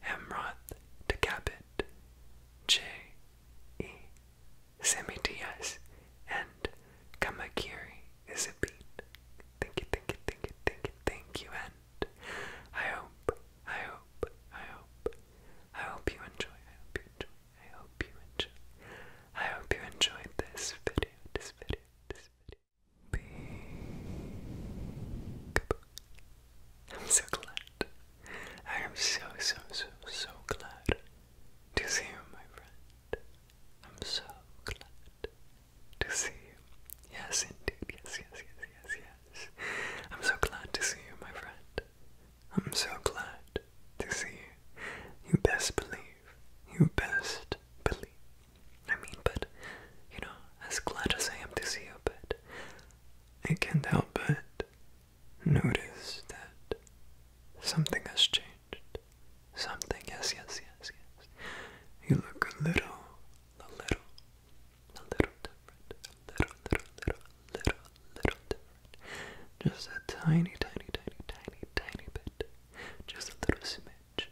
Hemroth Decapit, J. E. Semitias, and Kamakiri is a beat. Thank you, thank you, thank you, thank you, thank you, and I hope, I hope, I hope, I hope you enjoy, I hope you enjoy, I hope you enjoy, I hope you enjoyed this video, this video, this video. Big I'm so glad. I am so, so, so, so glad to see you, my friend. I'm so glad to see you. Yes, indeed. Yes, yes, yes, yes, yes. I'm so glad to see you, my friend. I'm so glad to see you. You best believe. You best believe. I mean, but, you know, as glad as I am to see you, but I can't help but notice that something has changed. Something, yes, yes, yes, yes. You look a little, a little, a little different. A little, little, little, little, little different. Just a tiny, tiny, tiny, tiny, tiny bit. Just a little smidge.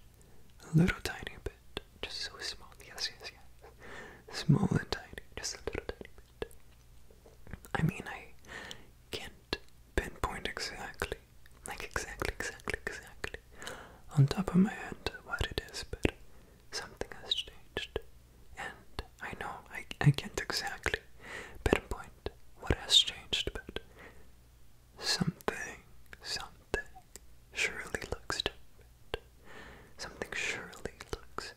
A little tiny bit. Just so small. Yes, yes, yes. Small and tiny. Just a little tiny bit. I mean, I can't pinpoint exactly, like exactly, exactly, exactly, on top of my head what it is, but something has changed. And I know I, I can't exactly pinpoint what has changed, but something, something surely looks different. Something surely looks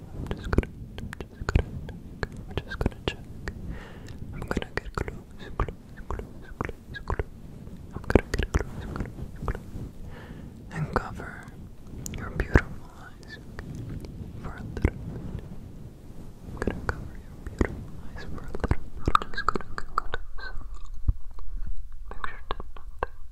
I'm just gonna, I'm just gonna, I'm just gonna I'm gonna get close, close, close, close, close. I'm gonna get close, And cover your beautiful eyes for a little bit. I'm gonna cover your beautiful eyes for a little bit. Make sure that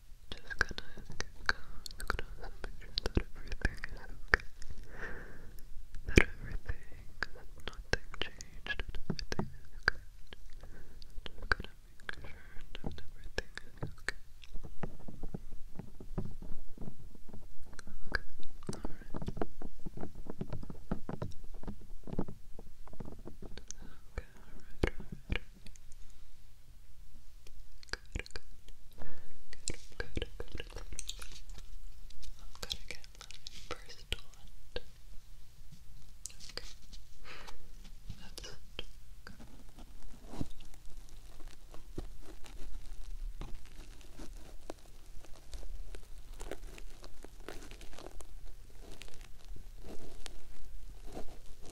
Just gonna make sure that everything okay. That everything, nothing changed, everything okay. Just gonna make sure that everything okay. Okay, alright. Okay, alright. Good, good, good, good, good. I'm gonna get my first one. Okay, that's it. Okay.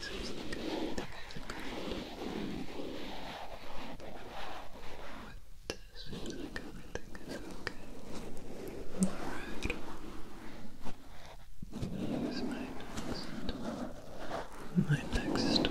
seems like everything is okay. Alright. Here's my next door. My next door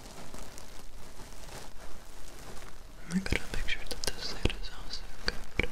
I got a picture that this side is also good. Okay.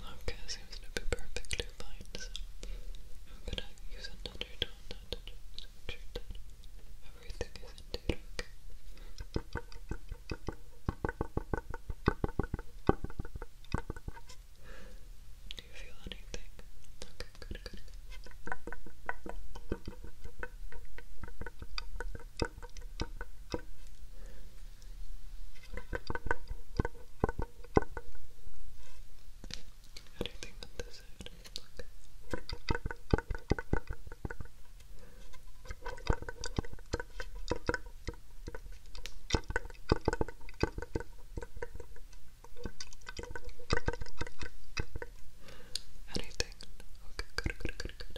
Okay, seems to be perfectly fine, I'm gonna use another tone now to just make everything is indeed okay. Do you feel anything? Okay, good. good. How you that this is? Anything? Okay, good, good, good, good.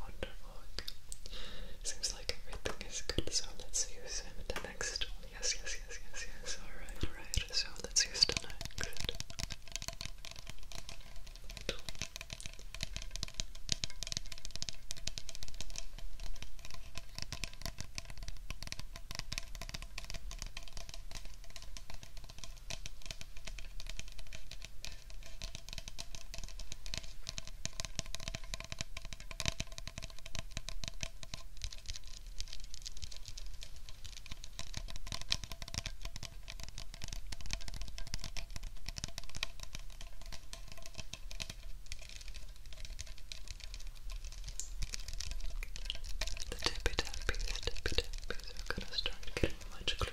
Wonderful. Seems like everything is good, so let's use him in the next one. Yes, yes, yes, yes, yes. Alright, alright. So let's use the next. The tippy tappies, tippy tappies are gonna start getting much closer.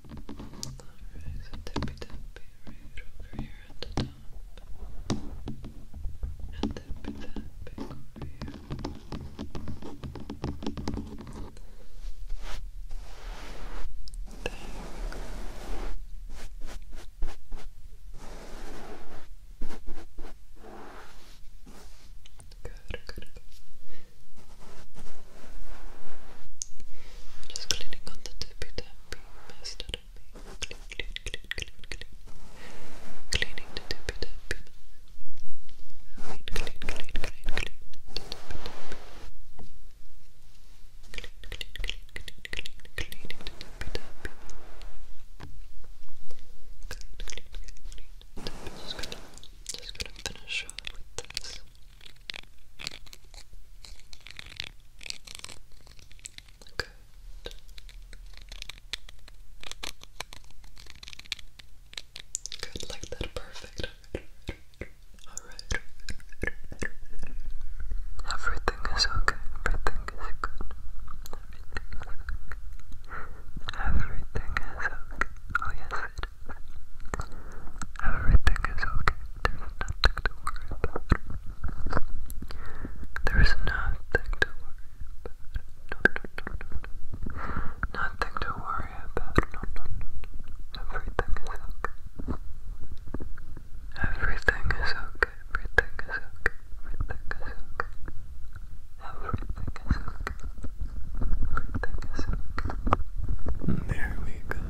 Alright, so tippy tappy over here at the top. And tippy tapping over here. There good, good. Just cleaning on the tippy tappy mess that I made. Clean, clean, Cleaning the tippy tappy mess. Clean, clean, clean, clean, clean. The tippy tappy. Clean, Cleaning the tippy tappy. Clean, clean, clean, Just gonna, just gonna finish off with this. Good. Good, like that, perfect. Alright. Everything is okay, everything is good. Everything is okay. Everything is okay. Oh yes it is. Everything is okay. There's nothing to worry about. No, no, no, no, no. Nothing to worry about. Everything is okay. Everything is okay. Everything is okay. Everything is okay. There we go.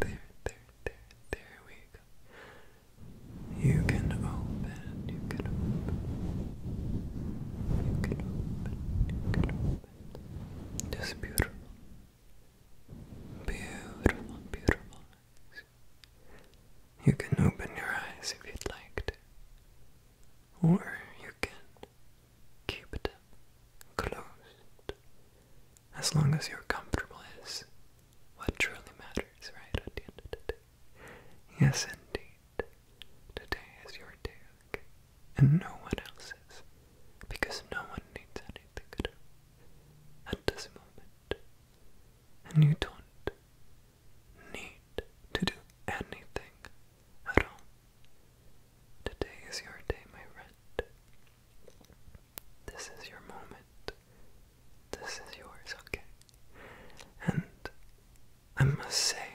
There, there, there, there we go. You can open, you can open, you can open, you can open. Just beautiful. Beautiful, beautiful. You can open your eyes if you'd like to. Or you can keep them closed as long as you're comfortable is what truly matters, right, at the end of the day. Yes, indeed. Today is your day, And no one else's. Because no one needs anything At this moment. And you don't need to do anything at all. Today is your day, my friend. This is your moment. This is yours, okay? And I must say,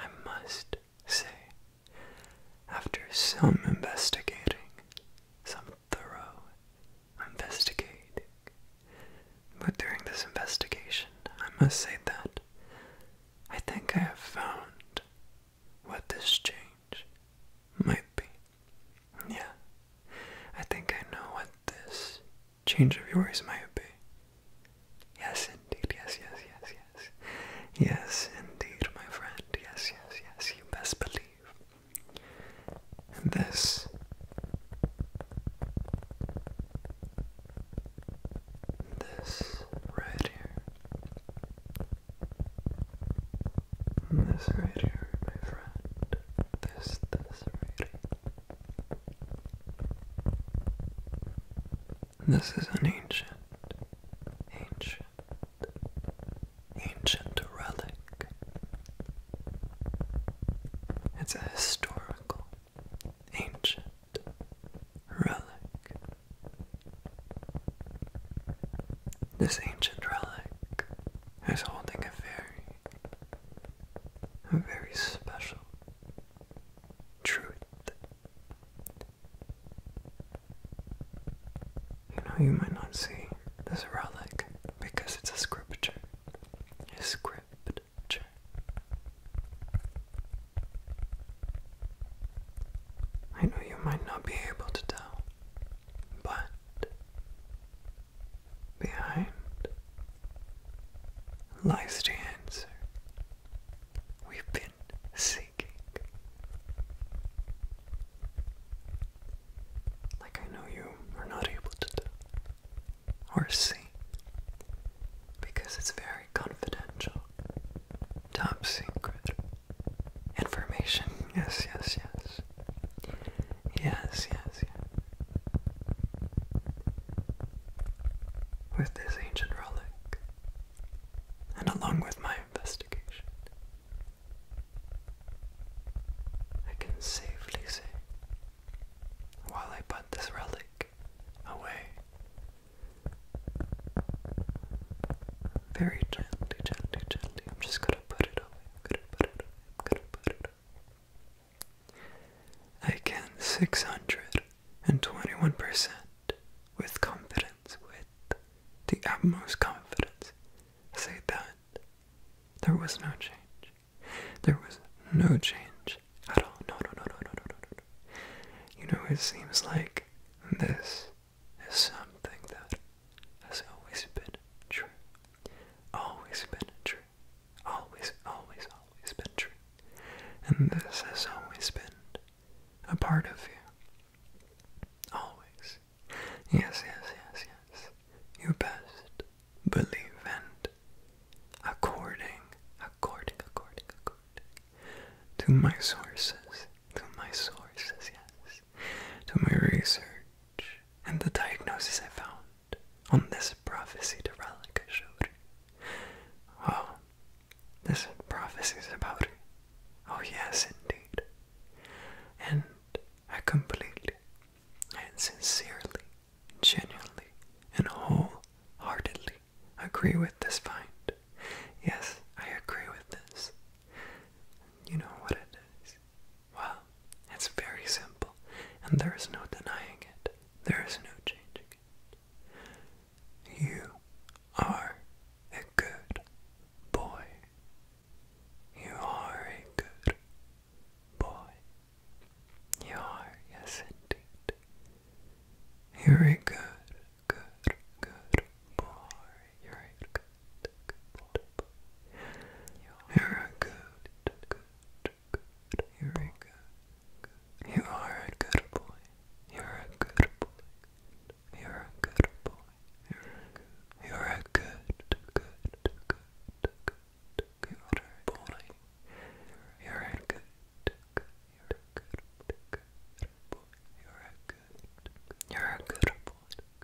I must say, after some investigating, some thorough investigating, but during this investigation, I must say that I think I have found what this change might be. Yeah, I think I know what this change of yours might be. Yes, indeed. Yes, yes, yes, yes. Yes, indeed, my friend. Yes, yes, yes. You best believe. And this. This right here this right here, my friend. This, this right here. This is an ancient, ancient, ancient relic. It's a historical, ancient relic. This ancient relic is holding a very, a very special truth. You know, you might not see this relic because it's a scripture. A scripture. I know you might not be able to tell but behind lies the answer we've been seeking. Like I know you are not able to do or see because it's very confidential, top secret information. Yes, yes, yes. Yes, yes, yes. With this ancient relic, and along with my investigation, I can safely say, while I put this relic away, very gently, gently, gently, I'm just gonna put it Again, 621% with confidence, with the utmost confidence, say that there was no change. There was no change at all. No, no, no, no, no, no, no, no. You know, it seems like this is something that has always been true. Always been true. Always, always, always been true. And this has always been a part of you. Always. Yes, yes, yes, yes. You best believe and according, according, according, according to my sources, to my sources, yes to my research and the diagnosis I found on this prophecy to relic I showed her. this prophecy is about her. Oh yes, indeed. And I completely and sincerely, genuinely, and wholeheartedly agree with this find. Yes, I agree with this. You know what it is. Well, it's very simple, and there is no denying it. There is no changing it. You are a good boy. You are a good boy. You are, yes indeed. You're a good, good, good boy. You're a good you're a good, good, good. You're a good, You are a good boy. You're a good boy. You're a good boy. You're a good, good, good, good, good boy. You're a good, good, you're a good, good boy. You're a good, you're a good boy.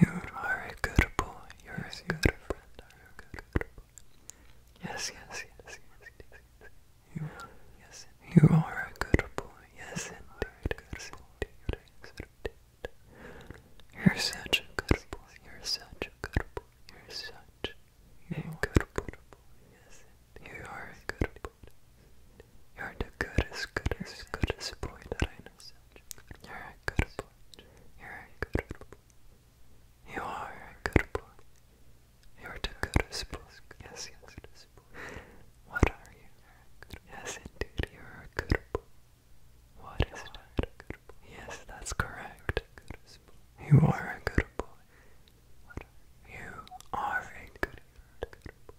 You are a good boy. You're yes, a good friend. You're a good boy. Yes, yes, yes, yes, yes. yes. You are. Yes, you are a good boy. Yes, indeed. Yes, indeed. You're such a good boy. You're such a good boy. You're such a good boy. Yes, you are a good boy. You're the goodest, goodest, goodest boy that I you're a good boy. You're a good boy. You are a good boy. You're the goodest boy. Yes, yes. What are you? Yes, indeed. You're a good boy. What is that? Yes, that's correct. You are a good boy. You are a good boy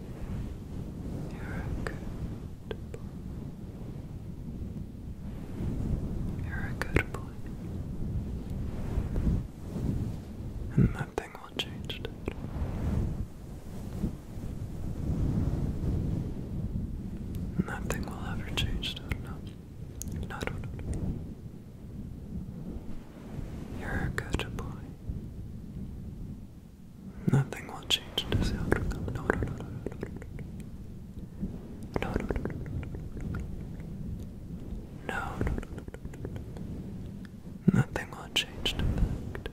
You're a good boy. You're a good boy. And nothing will change Nothing will ever change No, no, no. You're a good boy. Nothing will change this outcome. No, no, no, no, no, no, no, no, no, no, no, no, nothing will change the fact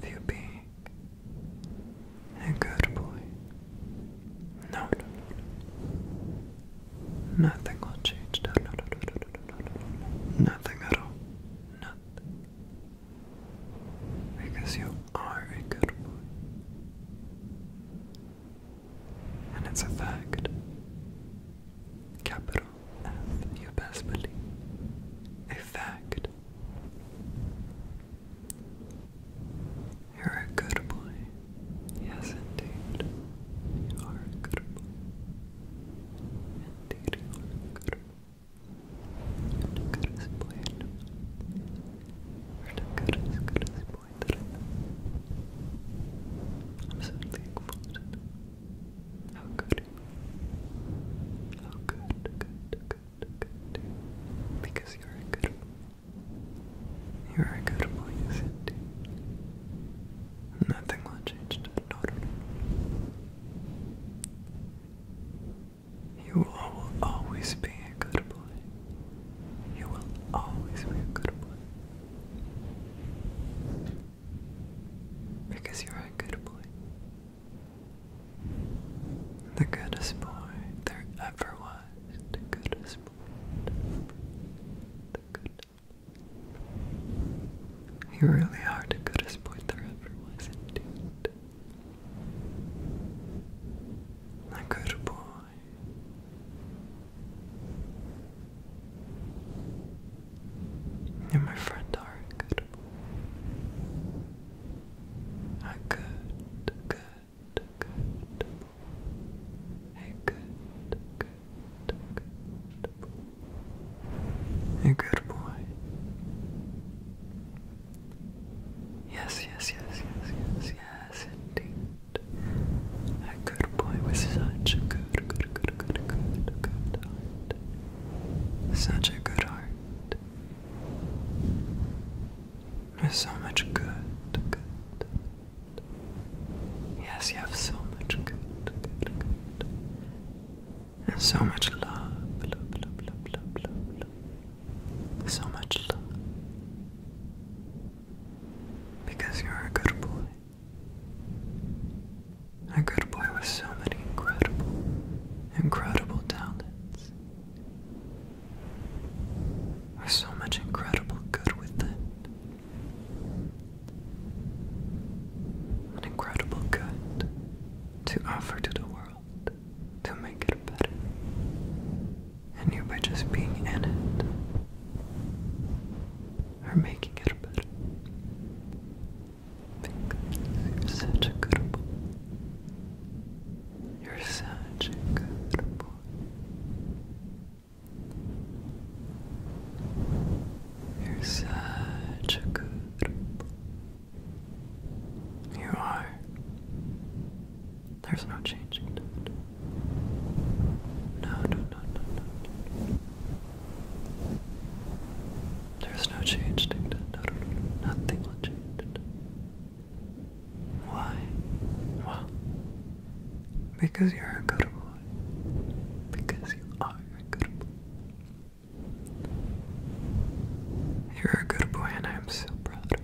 of you being a good boy. No, no, no, nothing will change that. No, no, no, no, no, no, no, nothing at all. Nothing. Because you are a good boy. And it's a fact. Capital F, you best believe. A fact. You're a good boy. Yes, indeed. You are a good boy. Indeed, you are a good no quieres bueno, no quieres que disappointed. I'm certainly exhausted. How good, how good, good, good, good. Because you're a good one. You're a good boy, Nothing will change that, no, no, you will always be a good boy. You will always be a good boy. Because you're a good boy. The goodest boy there ever was. The goodest boy. The goodest you really are the goodest boy there ever was, indeed. A good boy. You, my friend, are good boy. A good, good, good boy. good, good, good a good boy. Yes, yes, yes, yes, yes, yes, indeed. A good boy with such a good, good, good, good, good, good heart. Such a good heart. With so much good, good. Yes, you have so much good, good, good and so much love. love, love, love, love, love, love. So much love. Because you're a good boy. A good boy with so many incredible, incredible talents. With so much incredible good within. An incredible good to offer to the world to make it better. And you by just being in it are making it better. Because you're such a good boy. You're such a good boy. You're such a good boy. You are. There's no changing that. No, no, no, no, There's no change No, no, no. Nothing will change Why? Well, because you're a good boy. Because you are a good boy. You're a good boy, and I'm so proud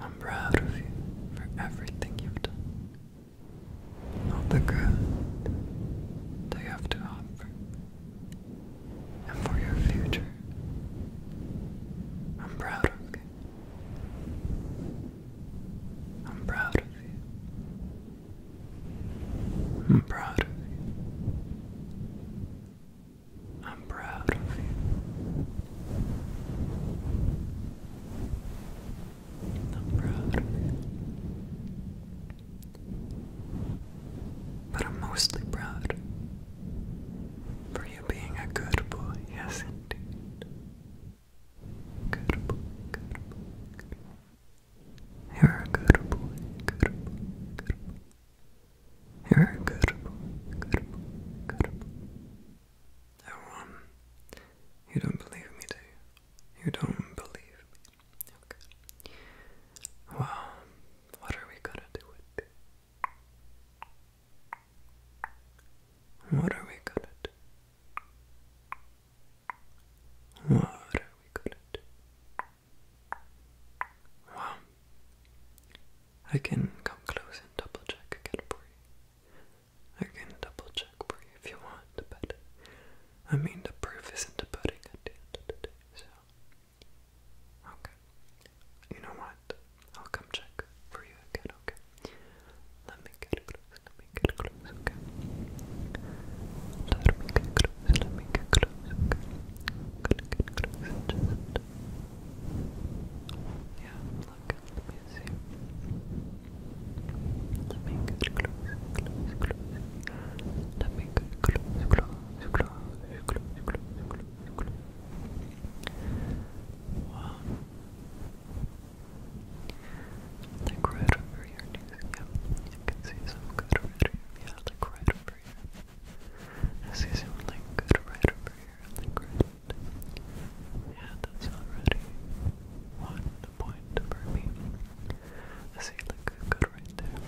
I'm proud of you for everything you've done. All the good that you have to offer. And for your future. I'm proud of you. I'm proud of you. I'm proud of you. I'm proud of you. I'm proud But I'm mostly proud for you being a good boy, yes indeed. Good boy, good boy, good boy. You're a good boy, good boy, good boy. You're a good boy, good boy, good boy. Oh, you don't believe me, do you? You don't believe Okay. Well, what are we gonna do with it? What are we gonna do? What are we good at? Well, I can come close and double check again for you. I can double check for you if you want, but I mean the proof is in the pudding at the end of the day, so okay. You know what? I'll come check for you again, okay? Let me get close, let me get close things, okay? Let me get close, let me get close, okay? i get close and just... Yeah, look, let me see. Let me get close, Let me get close, close, close, close, close, close, close, close. Wow. Like right over over your can see some good right here. Yeah, like right over here. I see some like good right over here. Like right. Yeah, that's already one point for me. I see like good right there.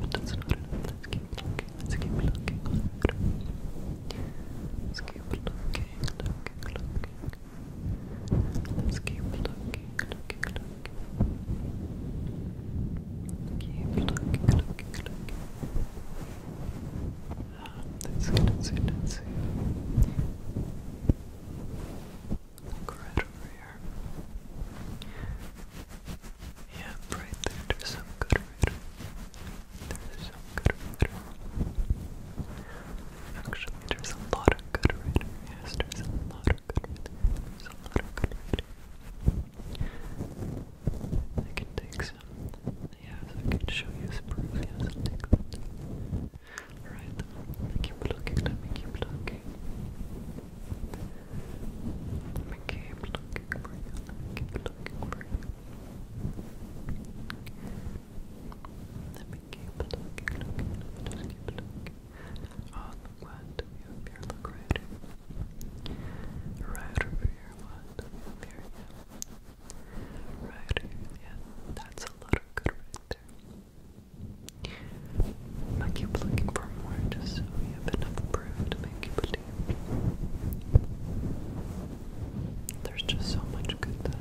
But that's not enough. Let's keep looking. Let's keep looking. Let's keep looking. Looking, looking. Let's keep looking. Looking, looking. Keep looking, looking, looking. Ah, that's good, that's good, that's good. Look right over here. Yeah, right there, there's some good reader. There's some good reader. Actually, there's a lot of good reader. Yes, there's a lot of good reader there's a lot of good I can take some, yes, I can show you some proof, yes, I'll take that. keep looking, let me keep looking. Let me keep looking let me keep looking Let me keep looking, just keep looking. On the you up here, look right here. Right over here, yeah. That's a lot of good right I keep looking for more just so we have enough proof to make you believe. There's just so much good that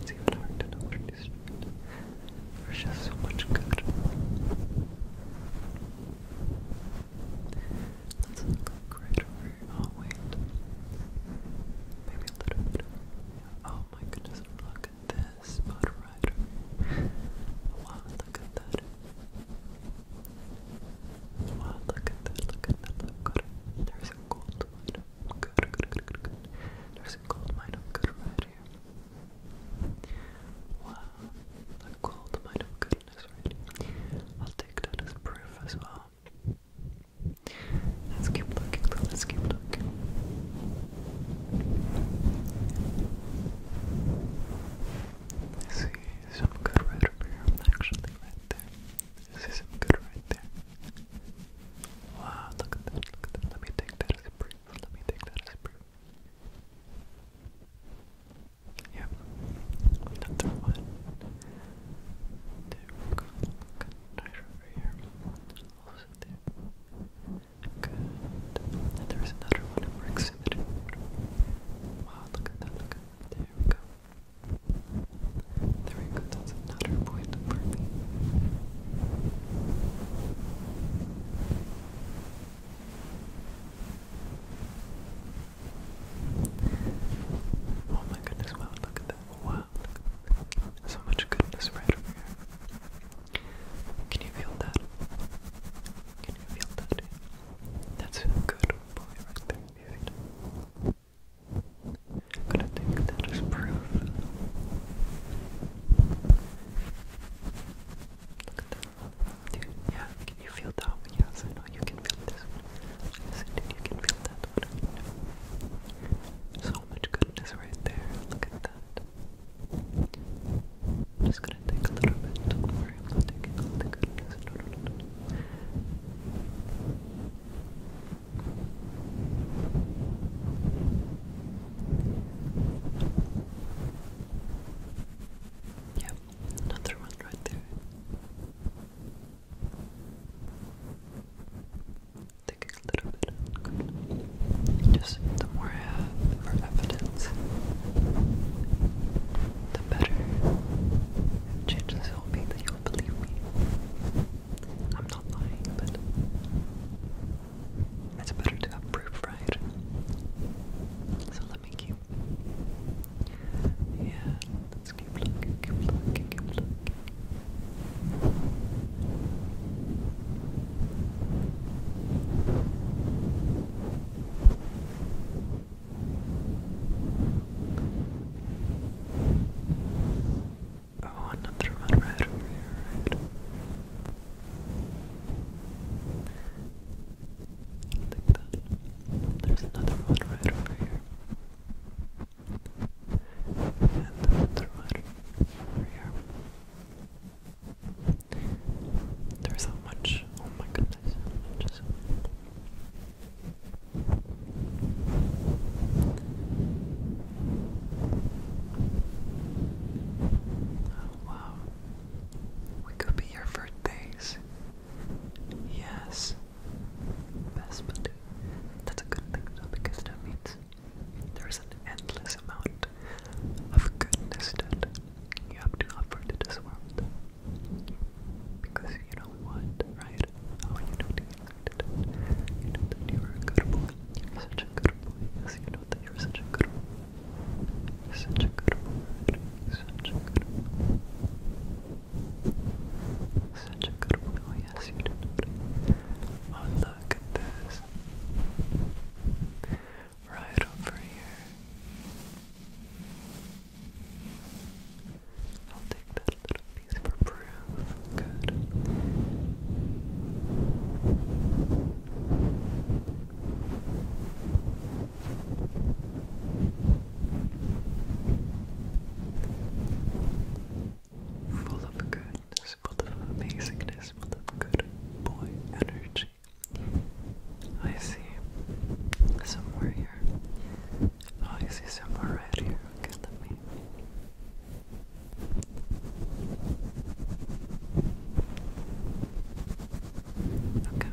it's even hard to know there's just so much good. Let's look right Oh, wait. Maybe a little bit Oh my goodness, look at this spot Wow, look at that. Wow, look at that, look at that, look at There's a gold mine. Good, good, good, good, good. There's a gold mine good right here. Wow, I called my goodness, right? I'll take that as proof as well. Let's keep looking, Let's keep looking. I see some good right here, actually, right there. I see some good right there. Wow, look at that, look at that. Let me take that as a proof. Let me take that as a proof. Yep, another one. There Good, right over here. Also there. Good. And there's another one in more Wow, look at that, look There we go. There we that's another point for me. Oh my goodness, wow, look at that. Wow, So much goodness right over here. Can you feel that? Can you feel that? That's good boy right there. You I'm gonna take that proof. Look at that. Dude, yeah, can you feel that one? Yes, I know you can feel this one. Yes, dude, you can feel that one. So much goodness right there. Look at that. I'm just gonna take a little bit. Don't worry, I'm not taking all the goodness. No, no, no, no. Yep, another one right there. Take a little bit. Just the more I have, the evidence, the better chances will be that you'll believe me. I'm not lying, but it's better to have proof, right? So let me keep. Yeah, let's keep looking, keep looking, keep looking. Oh, another one right over here, right? There's another one right over here. And another one over here. There's so much. Oh my goodness. Just Oh Wow. We could be here for days. Yes. Best believe. That's a good thing though because that means there's an endless amount of goodness that you have to offer to this world. Because you know what, right? Oh, you know that. You know that you're a good boy. You're such a good boy. Yes, you know that you're such a good boy. Such a good word. Such a good word. Such a good word. Oh, yes, you did. Oh look at this. Right over here. I'll take that little piece for proof. Good. Full of goodness, full of amazingness, full of good boy energy. I see somewhere here. Oh, I see somewhere right here. Okay, let me. Okay.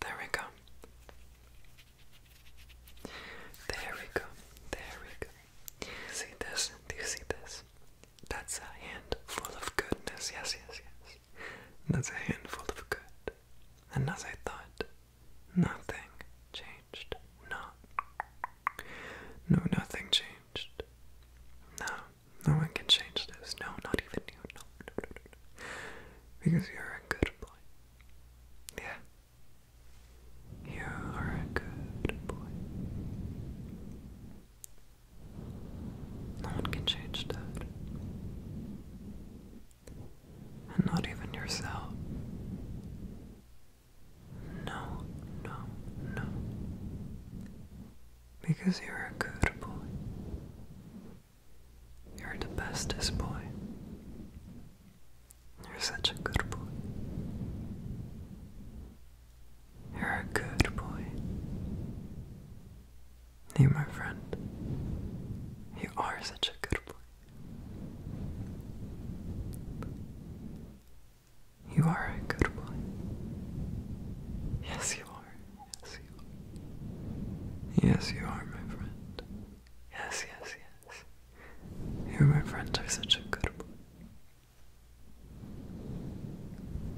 There we go. There we go. There we go. See this? Do you see this? That's a handful of goodness. Yes, yes, yes. That's a handful of good. And as I thought, nothing changed. No. No, nothing changed. No, no one can change this. No, not even you. No, no, no, no, Because you're a good boy. Yeah. You are a good boy. No one can change that. And not even yourself. No, no, no. Because you're a good boy. You're the bestest boy. You're such a good boy. You're a good boy. You, my friend, you are such a good boy. You are a good boy. Yes, you are. Yes, you are. Yes, you are, my friend. Yes, yes, yes. You, my friend, are such a good boy.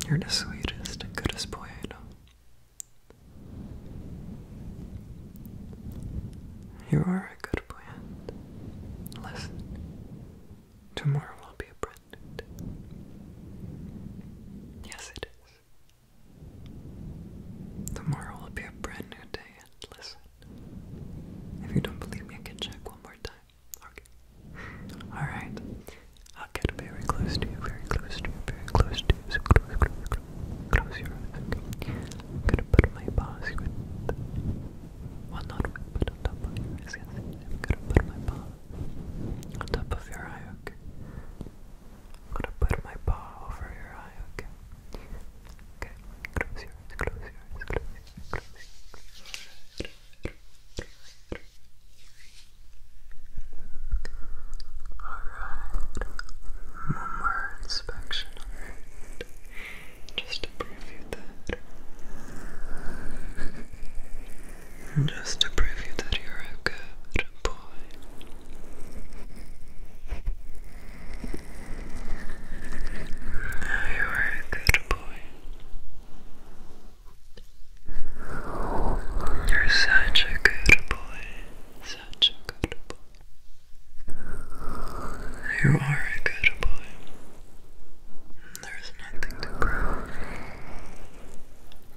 You're the sweetest and goodest boy I know. You are a good boy, listen. Tomorrow will be a brand Yes, it is. Tomorrow will be a brand new day, listen. If you don't believe me, I can check one more time. Okay. Alright. I'll get very close to you, very close to you, very close to you. So close, close, close, close your eyes. I'm gonna put my paws well, not on but on top of your eyes. Yes, I'm gonna put my paw on top of your eye, okay? I'm gonna put my paw over your eye, okay? Okay, close your eyes, close your eyes, close your eyes, close your eyes. Alright, one inspection. Just just to prove you that. you are a good boy. you are a good boy. You're such a good boy. Such a good boy. You are a good boy. There's nothing to prove,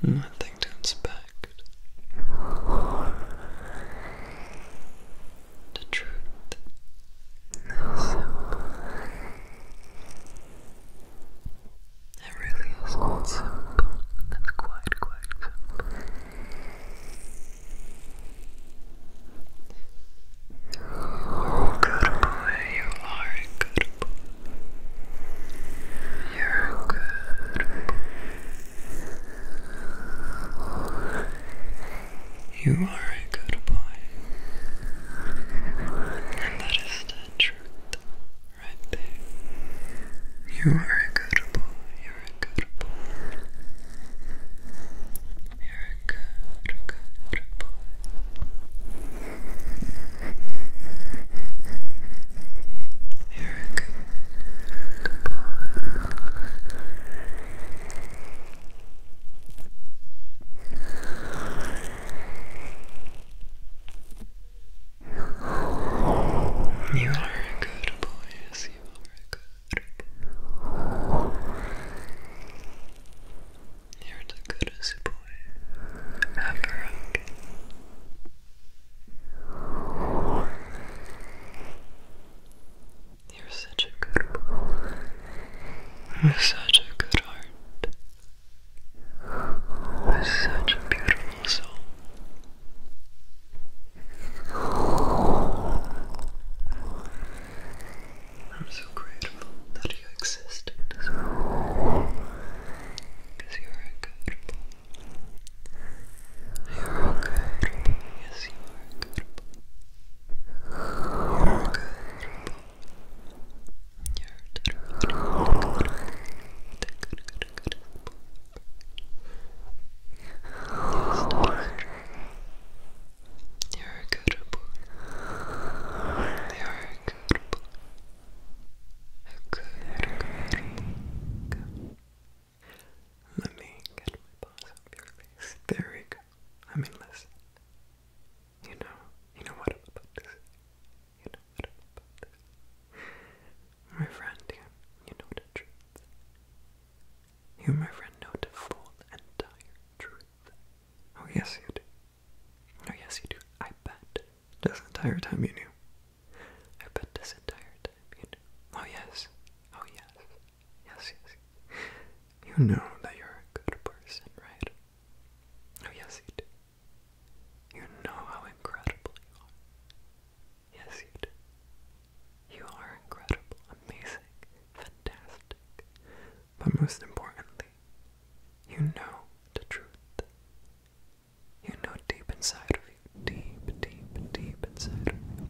nothing to inspect. The truth is simple. It really is quite simple. It's quite, quite simple. Good boy, you are a good boy. You're a good boy. You are a good boy. And that is the truth right there. You are a good boy. You're a good boy. You're a good, good boy. You're a good, boy. You are a good boy, yes, you are a good you're the goodest boy ever. Okay. You're such a good boy. With such a good heart. With such a beautiful soul. I'm so grateful that you exist in this world. Because you're incredible. You're incredible. Yes, you are You're incredible. You're terrible. You're good let me get my paws up your face. There we go. I mean, listen. You know, you know what I'm about You know what I'm about My friend, you, you know the truth. You, my friend, know the full entire truth. Oh, yes, you do. Oh, yes, you do. I bet. This entire time you knew. I bet this entire time you knew. Oh, yes. Oh, yes. Yes, yes. You know that you're a good person, right? Oh, yes, you do. You know how incredible you are. Yes, you do. You are incredible, amazing, fantastic, but most importantly, you know the truth. You know deep inside of you, deep, deep, deep inside of you,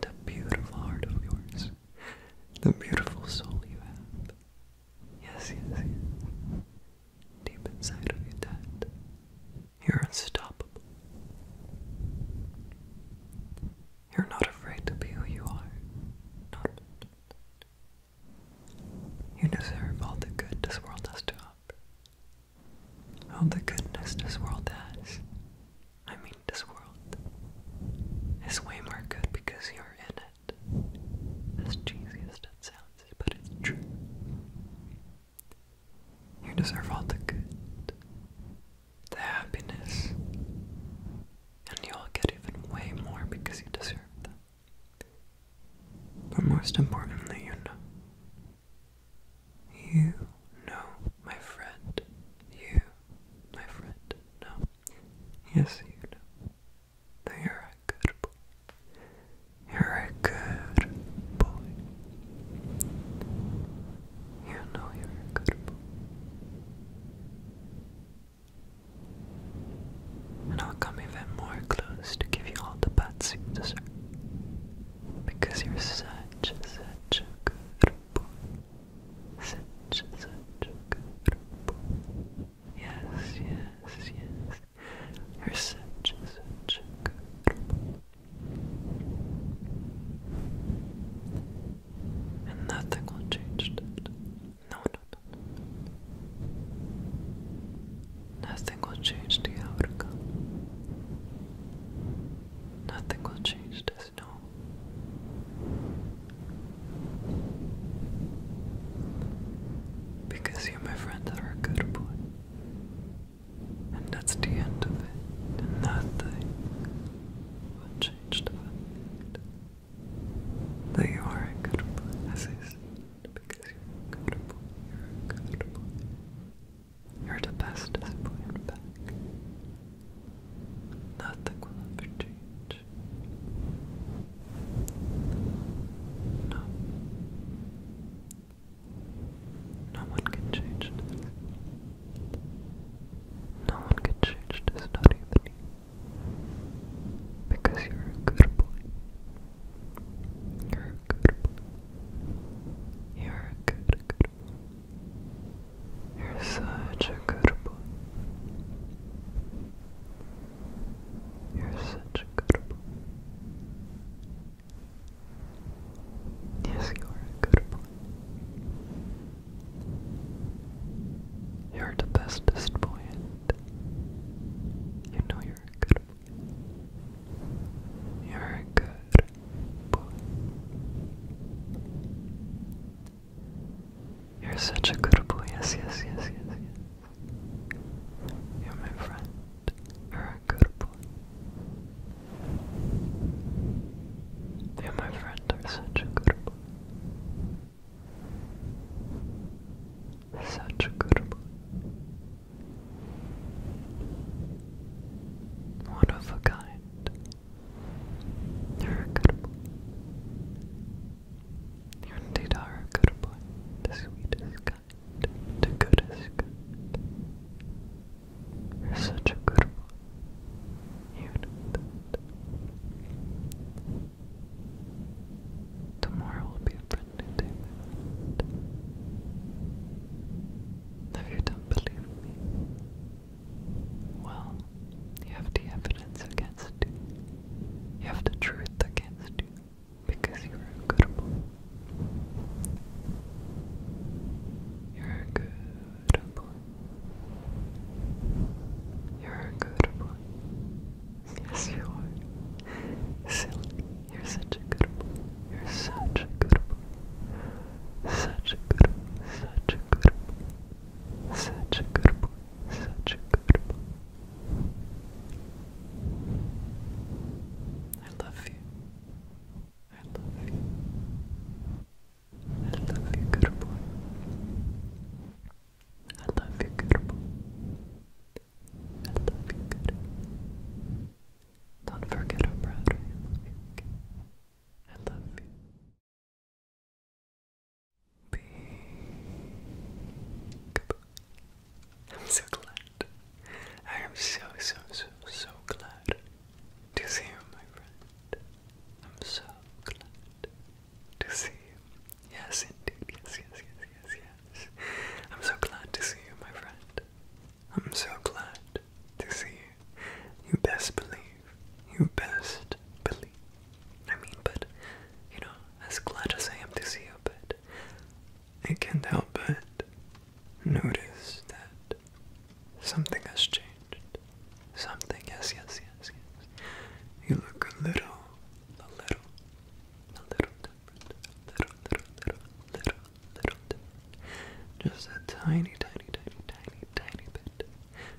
the beautiful heart of yours, the beautiful soul you have. Yes, yes, yes. Deep inside of you, that you're unstoppable. You're not afraid to be who you are. not, you deserve all the good this world has to offer. All the goodness this world has. I mean, this world is way more good because you're in it. As cheesy as that sounds, but it's true. You deserve all the good, the happiness, and you'll get even way more because you deserve them. But most importantly, you know. You know, my friend. You, my friend, know. Yes, you know. That you're a good boy. You're a good boy. You know you're a good boy. And I'll come even more close to give you all the pats you Because you're such, such a good boy. Such, such a good boy. Yes, yes, yes. You're such, such a good boy. And nothing will change that no. Nothing will change the outcome. Nothing will change this, no. Because you, my friend, are a good boy. And that's the end of it. nothing will change the fact that you are a good assistant because you're comfortable. You're comfortable. You're the bestest Nothing will ever change. No. No one can change this. No one can change this, not even you. Because you're a good boy. You're a good boy. You're a good, good boy. You're such a good boy. You're such a good boy. Yes, you are a good boy. You're the bestest boy you know you're a good boy. You're a good boy. You're such a good boy. Yes, yes, yes, yes, yes. You're my friend. You're a good boy. You, my friend, are such a good boy. Such a good boy. One of a kind. You're a good boy. You indeed are a good boy. The sweetest kind. The goodest kind. such a good boy. You know that. Tomorrow will be a brand new day, If you don't believe me, well, you have the evidence against you. You have the truth against you because you're a good boy. You're a good boy. You're a good boy. Yes, you are. Silly, you're such a good boy. You're such a good boy. Such a good boy. Such a good boy. Such a good boy. Such a good boy. I love you. I love you. I love you, good boy. I love you, good boy. I love you, good Don't forget I'm you. I love you. Big I'm so glad. I am so, so, so, so glad to see you, my friend. I'm so glad to see you. Yes, indeed. Yes, yes, yes, yes, yes. I'm so glad to see you, my friend. I'm so glad to see you. You best believe. You best believe. I mean, but, you know, as glad as I am to see you, but I can't help but notice that something has changed. Something, yes, yes, yes, yes. You look a little a little, a little little, little, little, little, little Just a tiny, tiny, tiny, tiny, tiny bit.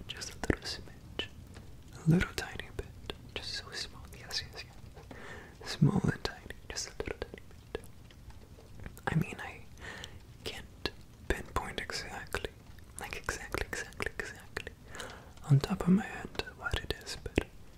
Just a little smidge. A little tiny bit. Just so small. Yes, yes, yes. Small and tiny. Just a little tiny bit. I mean, I can't pinpoint exactly, like exactly, exactly, exactly, on top of my head what it is, but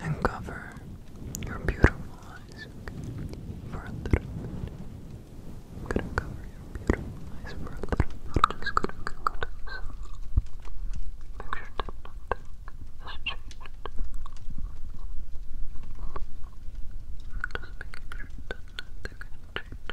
and cover your beautiful eyes okay? for a little bit. I'm gonna cover your beautiful eyes for I'm just gonna go to this. Picture that has changed. Just making sure that nothing has changed. Okay?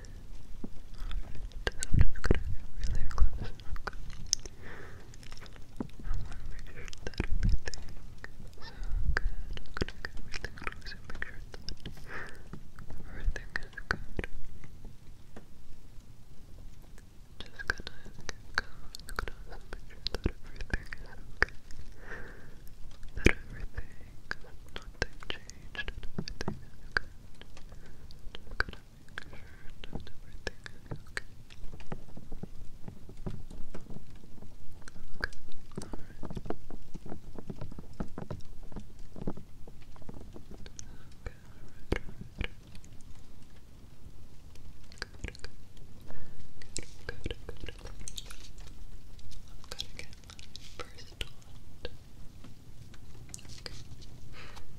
I'm just gonna get really close. Okay. I want to make sure that everything is good. I'm gonna get really close and make everything is good. Just gonna make sure that everything is okay. That everything, nothing changed, everything is good structure and everything. Okay. Okay. All right. Okay, alright, alright. Good, good. Good, good, good. I've got to get my first one. Okay.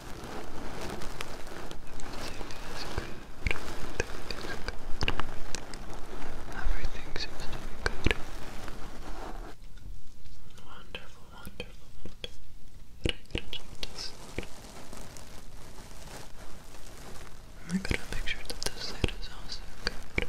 good. Everything seems to be good. Wonderful, wonderful, wonderful. I gotta make sure that this side is also good.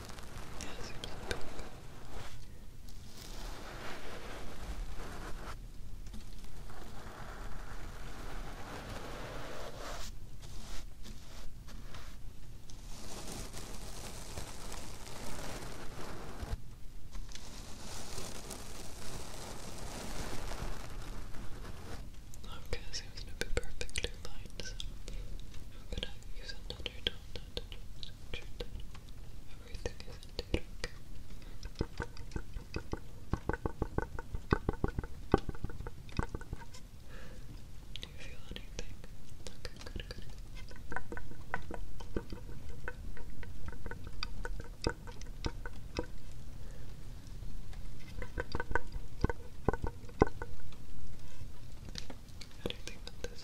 Yes, keep doing that. Okay, to be perfectly lined, i use another donut. Everything is indeed Do you feel anything? Okay, good, good. Anything on this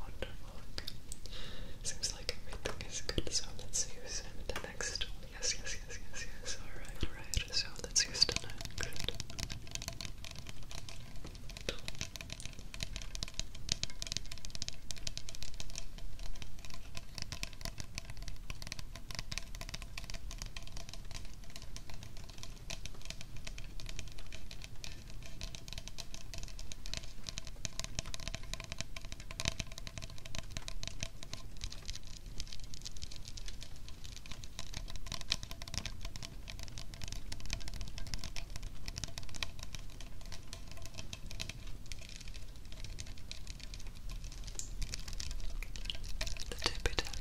Wonderful. Seems like everything is good, so let's use him the next one. Yes, yes, yes, yes, yes. Alright, alright good, so let's use the next. The tip it up,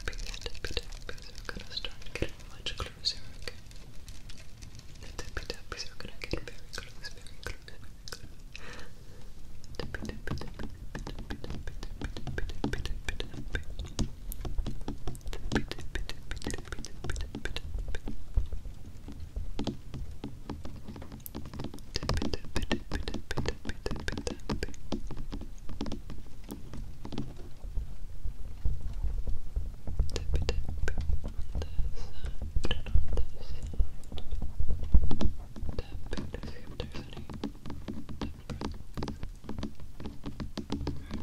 the tip it up, we're gonna start getting much closer, okay? The tip it up, we're gonna get very close, very close, very close. Tip it up, tip it Tap it, if there's any. Tap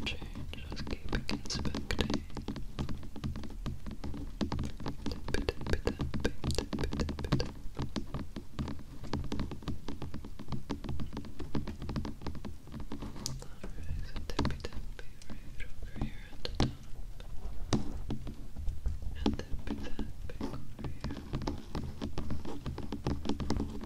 Okay, just keep inspecting. Tip it, tip it, tip it, tip it, tip it. Alright, so tippy tappy right over here at the top. And tippy tapping over here.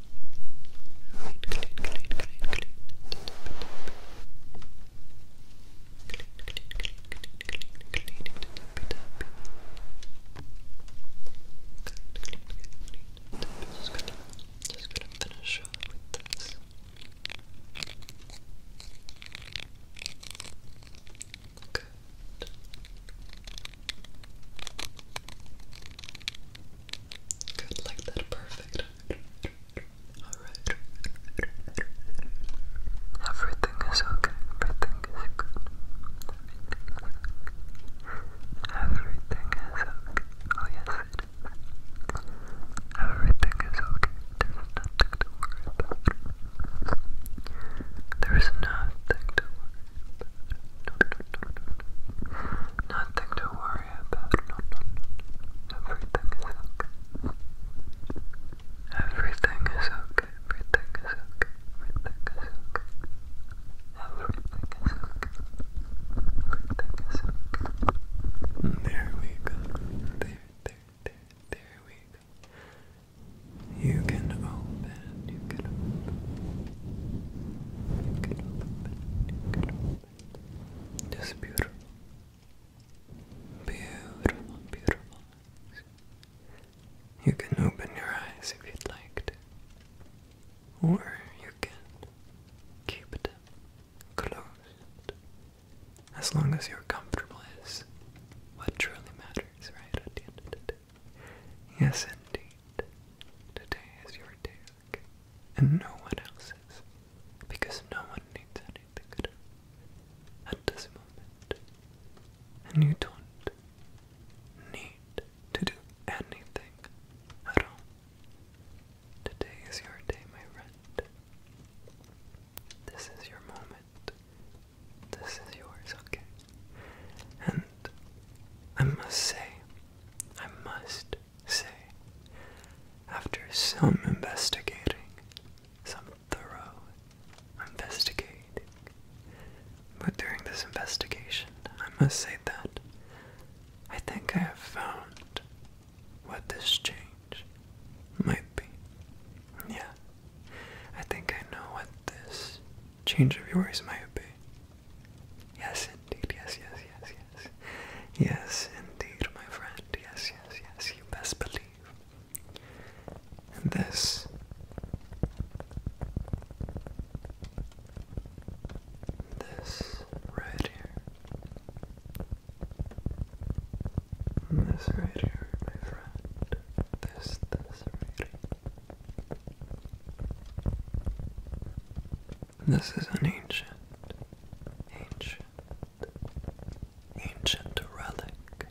Just gonna, finish with this. Good. Good, like that, perfect. Everything is okay. Everything is good. Everything is okay. Oh yes it is. Everything is okay. There's nothing to worry about. Nothing to worry worry Everything is okay. Everything is okay. Everything is okay. Everything is okay. Everything is okay. Everything is okay. There we go. There, there, there, there we go. You can open, you can open. You can open, you can open. Just beautiful. Beautiful, beautiful. You can open your eyes if you'd like to. Or you can keep them closed. As long as you're comfortable is what truly matters, right, at the end of the Yes, indeed. Today is your day and no one else's, because no one needs anything good at this moment, and you don't need to do anything at all. Today is your day, my friend. This is your moment. This is yours, okay? And I must say, I must say, after some investigating, some thorough investigating. But during this investigation, I must say that I think I have found what this change might be. Yeah, I think I know what this change of yours might be. Yes, indeed. Yes, yes, yes, yes. Yes, indeed, my friend. Yes, yes, yes. You best believe. And this. This right here. This right here, my friend. This, this right here. This is an ancient, ancient, ancient relic.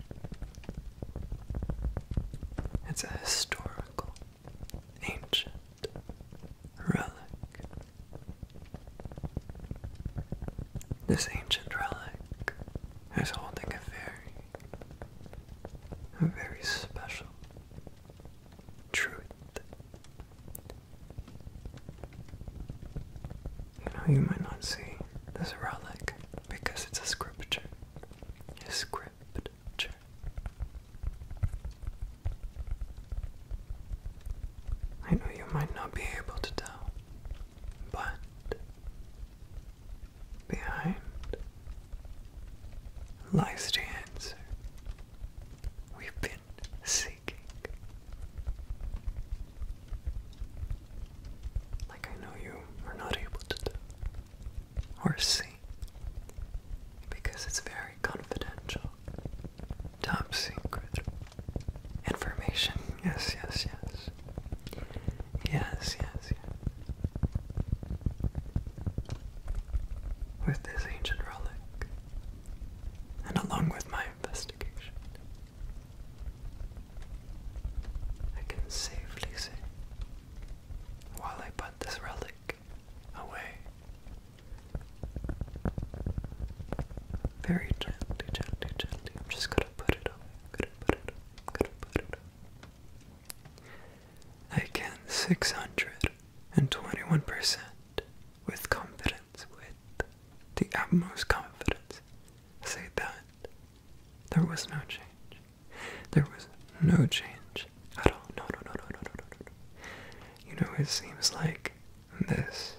It's a historical, ancient relic. This ancient relic is holding a very, a very special truth you know, you might not see this relic because it's a scripture. A scripture. I know you might not be able to tell, but behind lies the answer. We've been seeking. Like I know you are not able to do or see because it's very confidential, top secret information. Yes, yes, yes. Yes, yes, yes. With this ancient relic, and along with my investigation, I can safely say, while I put this relic away, very gently, gently, gently, I'm just gonna put it away, gonna put it gonna put it I can 621% with confidence, with the utmost confidence say that there was no change. There was no change at all. No, no, no, no, no, no, no, no. You know, it seems like this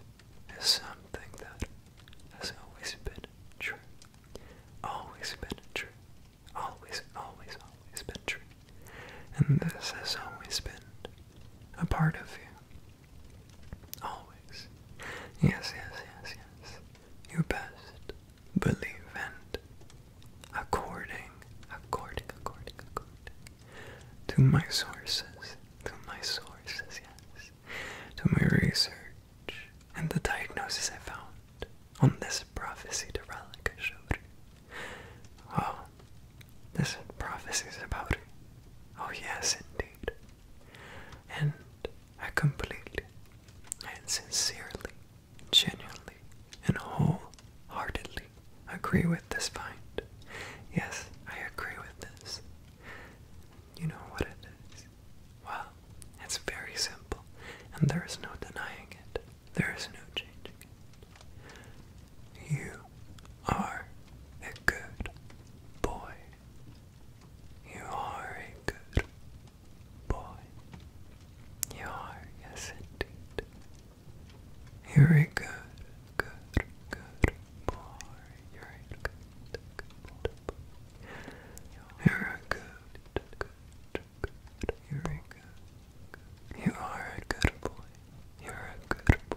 is something that has always been true. Always been true. Always, always, always been true. And this has always been a part of you. Always. Yes, yes, yes, yes. You best believe and according, according, according, according to my sources, to my sources, yes, to my research and the diagnosis I found on this prophecy to relic I showed you. Oh, this prophecy is about it. Oh, yes, indeed. And I completely and sincerely, genuinely, and wholeheartedly agree with this find. Yes, I agree with this. You know what it is? Well, it's very simple, and there is no denying it. There is no changing you are a good boy. You are a good boy. You are, yes indeed. You're a good, good, good boy. You're a good, good boy. You're a good, good, good. You're a good, good. You are a good boy. You're a good boy.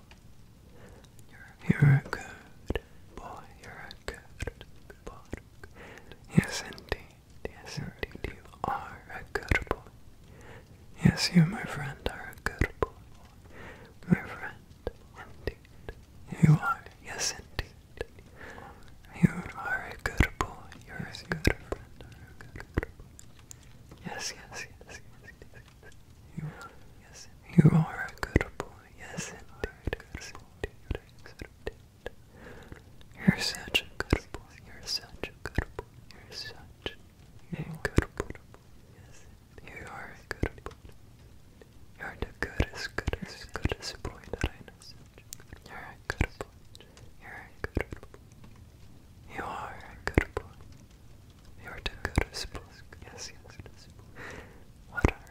You're, you're a good boy. You're a good boy. Yes, indeed. Yes, indeed. You are a good boy. Yes, you, my friend, are a good boy. My friend, indeed. You are. Yes, indeed. You are a good boy. You're yes, a good friend. You're a good boy. Yes, yes, yes, yes, yes. You are, a good boy. Yes, indeed. You're such a good boy. You're such a good boy. You're such a good boy. Yes, you are a good boy. You're the goodest, goodest, goodest boy that You're a good boy. You're a good boy. You are a good boy. You're the goodest boy. Yes, yes, What a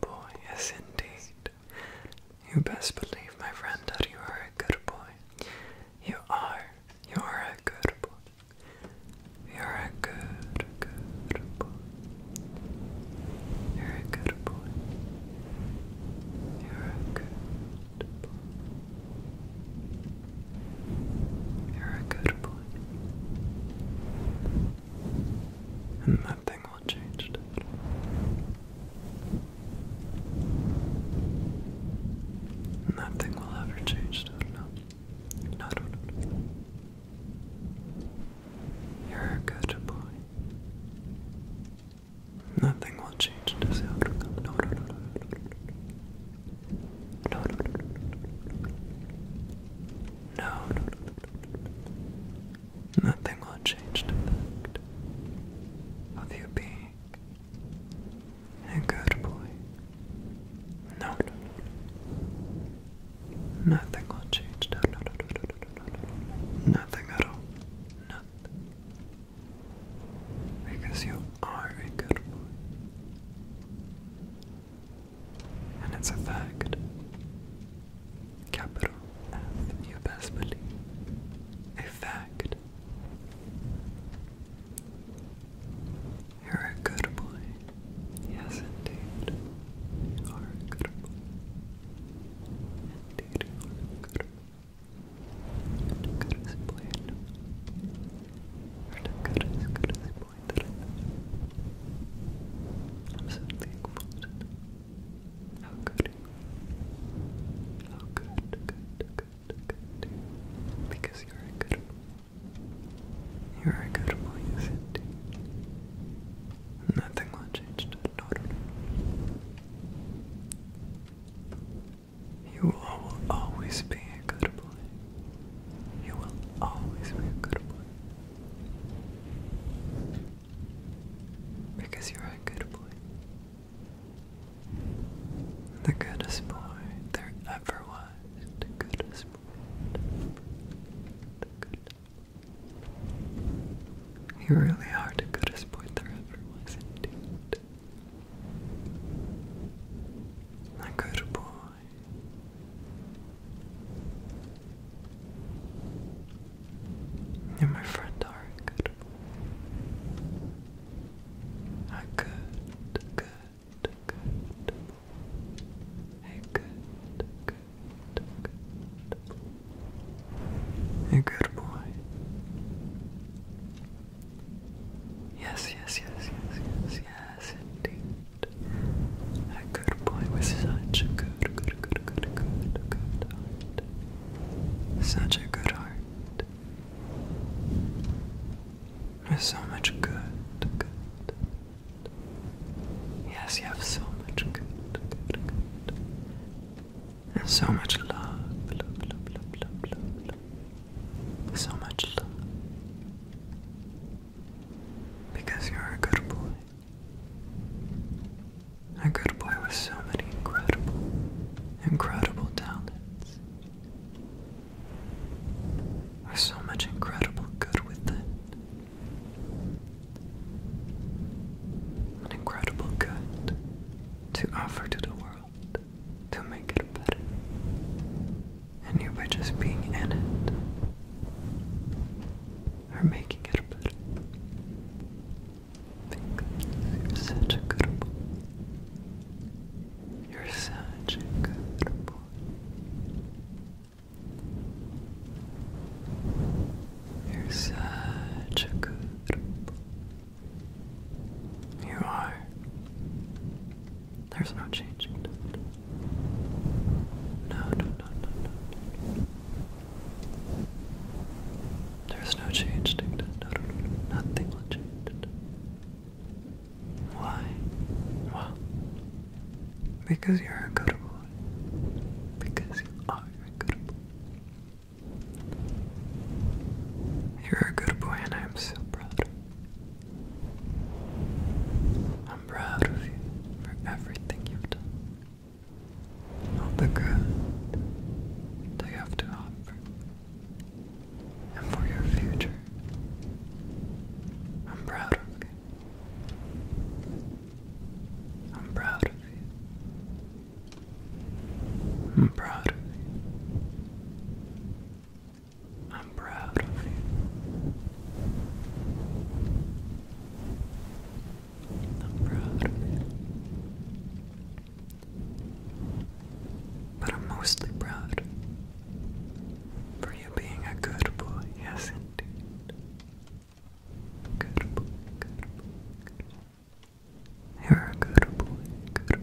Boy, yes indeed. You best believe, my friend, that you are a good boy. You are. You are a good boy. You are a good, good boy. You're a good boy. You're a good boy. You're a good boy. And nothing Nothing will ever change no. No, no, You're a good boy. Nothing will change this outcome. No, no, no, no, no, no, no, no, no, no, no, no, no, no, no, no, no, no, no, Nothing will change the fact of you being a good boy. No, no, Nothing will change. no, no, no, no, no. Nothing at all. Nothing. Because you are a good boy. And it's a fact Capital F, you best believe. A fact. You're a good boy. Yes, indeed. are a good boy. Indeed, a good boy. you goodest boy You're the goodest, goodest boy that I know. I'm how good. How good, good, good, good. Because you're a good one. You're a good boy, you said. Nothing will change that. No, no, no. You will always be a good boy. You will always be a good boy. Because you're a good boy. The goodest boy there ever was. The goodest boy. The good. You really are the goodest boy there ever was indeed. A good boy. You, are my friend, are a good good, good, A good, good, good A good boy. Yes, yes, yes, yes, yes, yes, indeed. A good boy with such a good good, good, good, good, good, good heart. Such a good heart. There's so much good, good. Yes, you have so much good, good, good. And so much love, love, love, love, love, love, love. So much love. Because you're a good boy. A good boy with so many incredible, incredible talents. With so much incredible good with An incredible good to offer to the world, to make it better. And you by just being in it are making it better. you're such a good boy. You're such a good boy. You're such a good boy. You are. There's no changing. No, no, no, no, no. There's no change, Dick. No, no, no, nothing will change. Why? Well, because you're a good boy. Because you are a good boy. You're a good boy, and I'm so proud. I'm proud of you for everything you've done of the good they have to offer and for your future. I'm proud of you. I'm proud of you. I'm proud of you. I'm proud of you. I'm proud But I'm mostly proud for you being a good boy. Yes, indeed. Good boy, You're a good boy,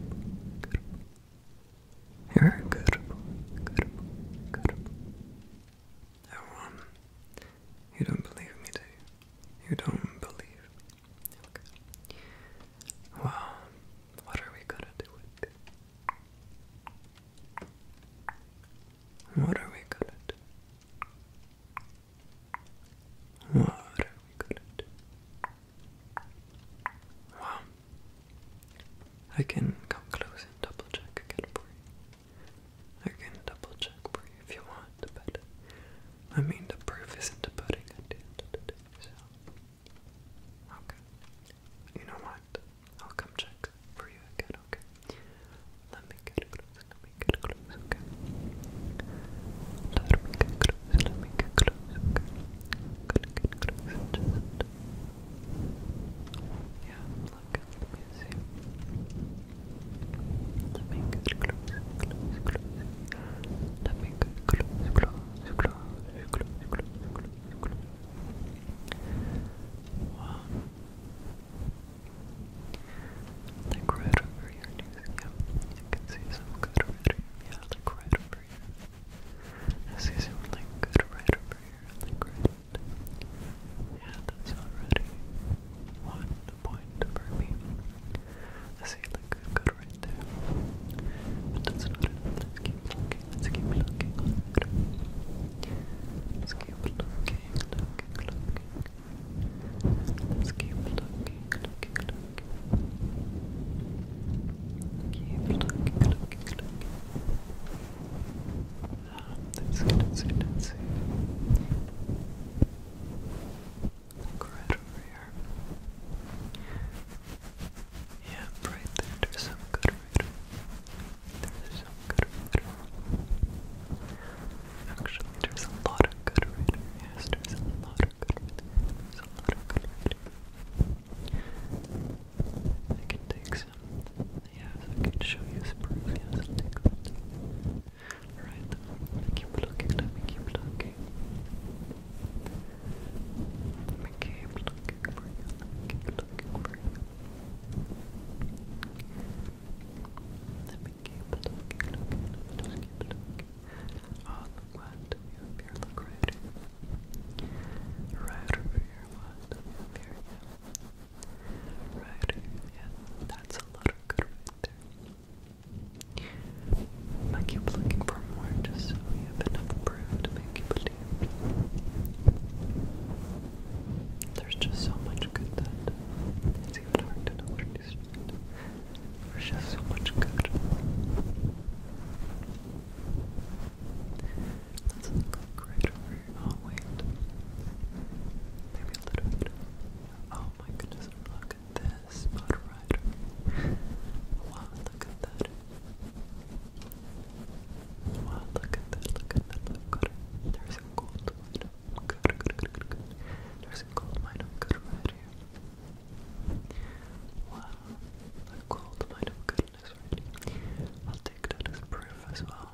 You're a good boy. Oh, you don't believe me, do you? You don't believe Well, what are we gonna do What are we gonna do? What are we gonna do? Well, I can come close and double check again for you. I can double check for if you want, I mean the proof is not the pudding okay. You know what? I'll come check for you again, okay? Let me get close, let me get close, okay? Let me get close, let me get close, okay? Gonna get close, Yeah, look at the museum. Let right over here, museum. You can see some good right over here. I see some good right over here. Yeah, that's already one, the point for me. I see it look good, right there. But that's not it. Let's keep looking. Let's keep looking. Let's keep looking, looking, looking. Let's keep looking, looking, looking. Keep looking, looking, looking. Um, that's good, that's good, that's good. Look right over here. Yeah, right there, there's some good reader. There's some good reader. Actually, there's a lot of good reader. Yes, there's a lot of good reader. There's a lot of good reader. I can take some. Yes, I can show you some proof. Yes, I'll take that. Alright, keep looking, let me keep looking. Let me keep looking for you, keep looking for you. Let me keep looking, let me keep looking. Oh, what we have here, right over here, what do we have Right, yeah, that's a lot of good right there. I keep looking for more just so we have enough proof to make you believe. There's just so much good that it's even hard to know where to start. There's just so much good. Let's look right over here. Oh, wait. Maybe a little bit. Oh my goodness, look at this Spot Rider. Wow, look at that. Wow, look at that, look at that, There's a gold Good, good, good, good, good. There's a gold mine of good right here. Wow, a gold mine goodness right I'll take that as proof as well.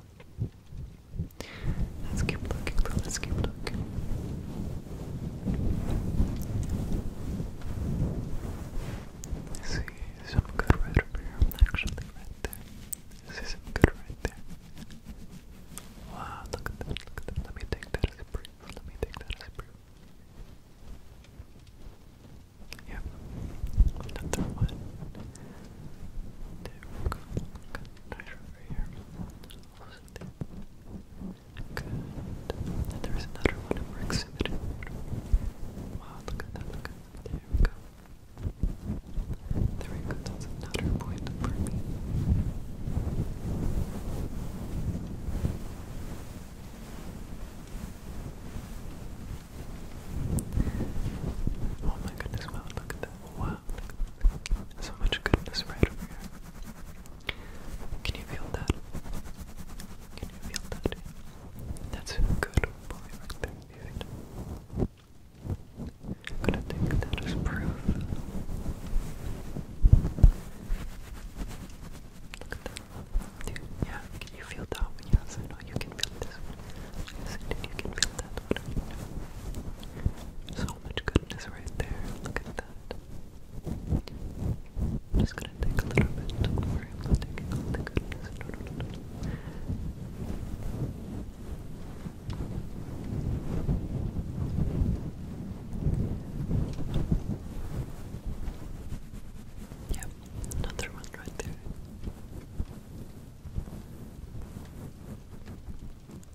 Let's keep looking, Let's keep looking. I see some good right here, actually, right there. I see good right there. Wow, look at that, look at that. Let me take that as a brief. Let me take that as a brief. Yep, another one. There we go. Nice over here. Good. there is another one over exhibit. Wow, look at that, look at that. There we go. There we go, that's another point for me. Oh my goodness, wow, look at that. Wow, so much goodness right over here. Can you feel that? Can you feel that? That's a good boy I'm gonna take that as proof. Look at that. Dude, yeah, can you feel that one? Yes, I know you can feel this one. Yes, indeed, you can feel that one. So so much goodness right there. Look at that. I'm just gonna take a little bit. I'm not taking all the goodness. No, no, no, Yep, another one right there.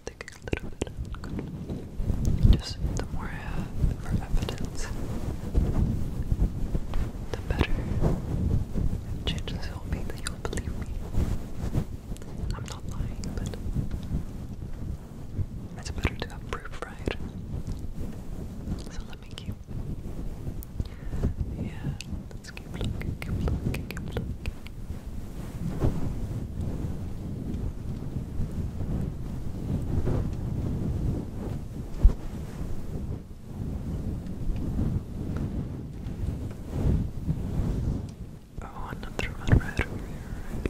Take a little bit Just the more I have for evidence, the better chances will be that you'll believe me. I'm not lying, but it's better to have proof, right? So let me keep. Yeah, let's keep looking, keep looking, keep looking. Oh, another one right over here, right? Like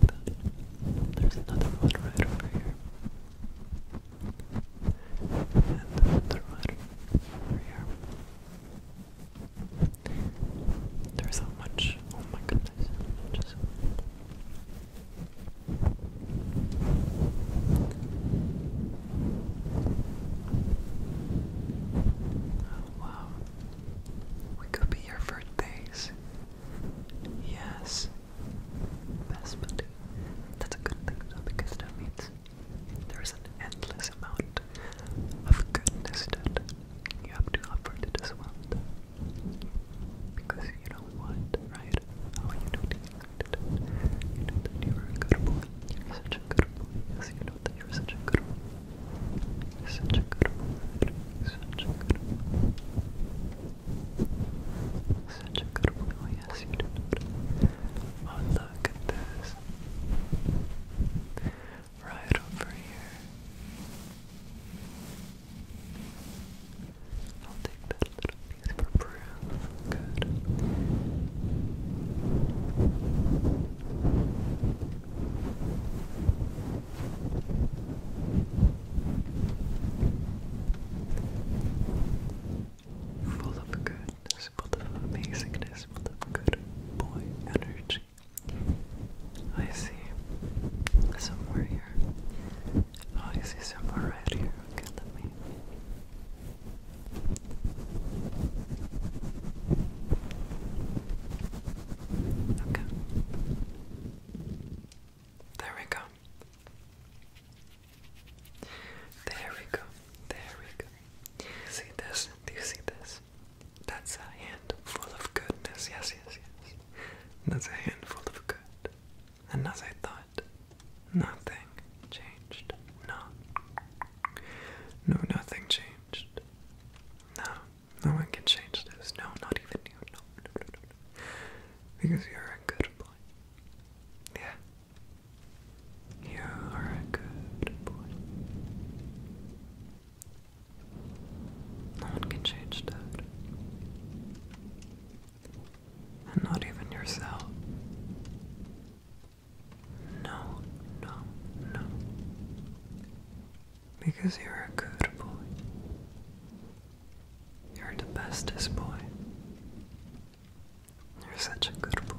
that. There's another one right over here. There's so much. Oh my goodness! Just oh, wow, we could be here for days. Yes, That's a good thing though, because that means there is an endless amount of goodness that you have to offer to this world. Because you know what, right? Oh, you know that you know that you were a good boy. You're such a good boy. Yes, you know that you're such a good boy. such a good boy. Such oh, a good boy. Such a good boy. Yes, you did it. Look at this. Right over here. I'll take that little piece for proof. Good full of goodness, full of amazingness, full of good boy energy. I see somewhere here. Oh, I see somewhere right here. Okay, let me. Okay. There we go. There we go. There we go. See this? Do you see this? That's a handful of goodness. Yes, yes, yes. That's a handful of good. And as I thought, nothing changed. No. No, nothing changed. No. No one can change this. No, not even you. No, no, no, no. Because you're a good boy. Yeah. You are a good boy. No one can change that. And not even yourself. No, no, no. Because you're a good boy. You're the bestest boy. You're such a good boy.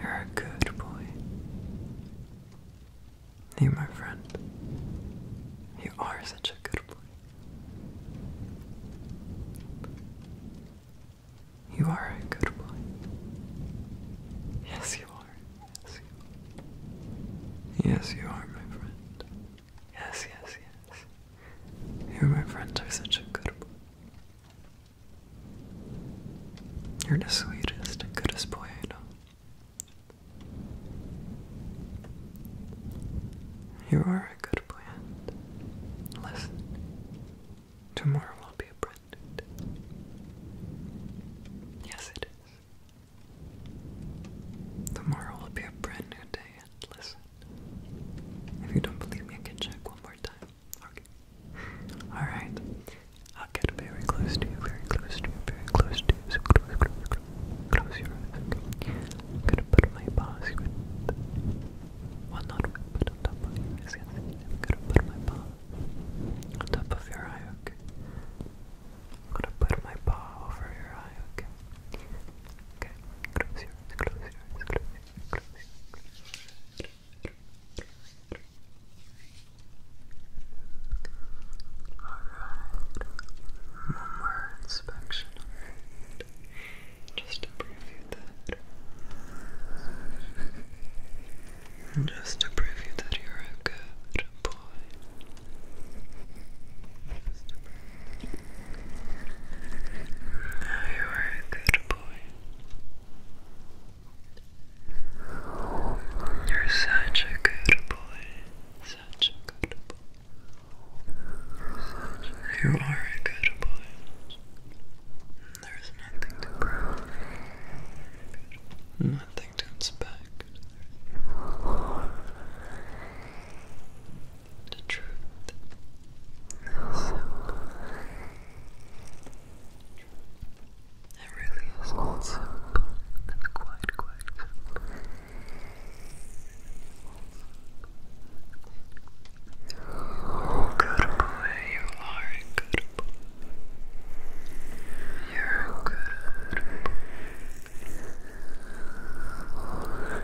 You're a good boy. You, my friend, you are such a good boy. You are a good boy. Yes, you are. Yes, you are. Yes, you are, my friend. Yes, yes, yes. You, my friends, are such a good boy. You're the sweetest and goodest boy I know. You are a good boy, listen, tomorrow will be a brand new day. Yes, it is. Tomorrow will be a brand new day, and listen. If you don't believe me, I can check one more time. Okay. Alright. I'll get very close to you, very close to you, very close to you. So close, close, close. Close your eyes. I'm gonna put my paws with. not with, but on top of your eyes. I'm gonna put my paw on top of your eye, okay? I'm gonna put my paw over your eye, okay? Okay, close your eyes, close your eyes, close your eyes, close your eyes. Alright, one more inspection. Just to preview that. Just to preview that you're a good boy. Just to preview you are a good boy. You're such a good boy. Such a good boy. You are a good boy. There's nothing to prove. Nothing to inspect the truth. So, it really is simple, quite, quite Oh, good boy, you are a You're a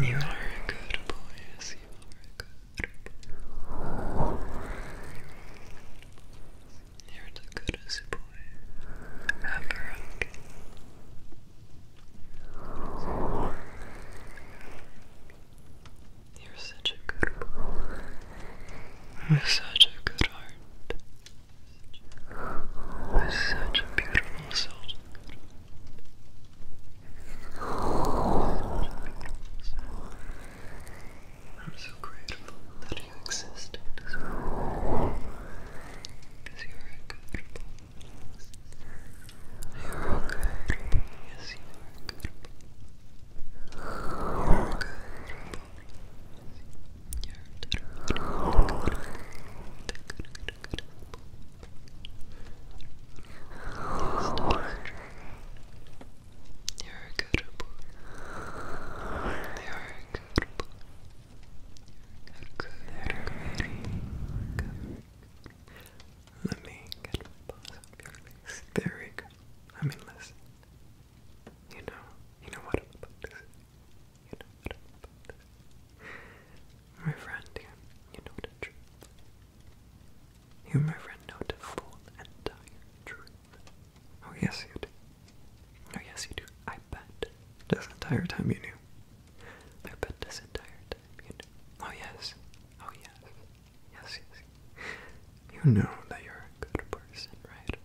You are a good boy, yes, you are a good boy. You're the goodest boy ever, you're such a good boy. are such a good heart. You're such a beautiful soul. I'm so grateful that you exist Because you're good You're a good Yes, you are you're good. You're a good boy. You're a good boy. You're a good boy. Let me get my paws up your face. Very work. I mean, listen. You know, you know what about this? You know what about this? My friend you know the truth. You, my friend, know the full entire truth. Oh yes, you do. Oh yes, you do. I bet this entire time you knew. I bet this entire time you knew. Oh yes. Oh yes. Yes, yes. You know that you're a good person, right?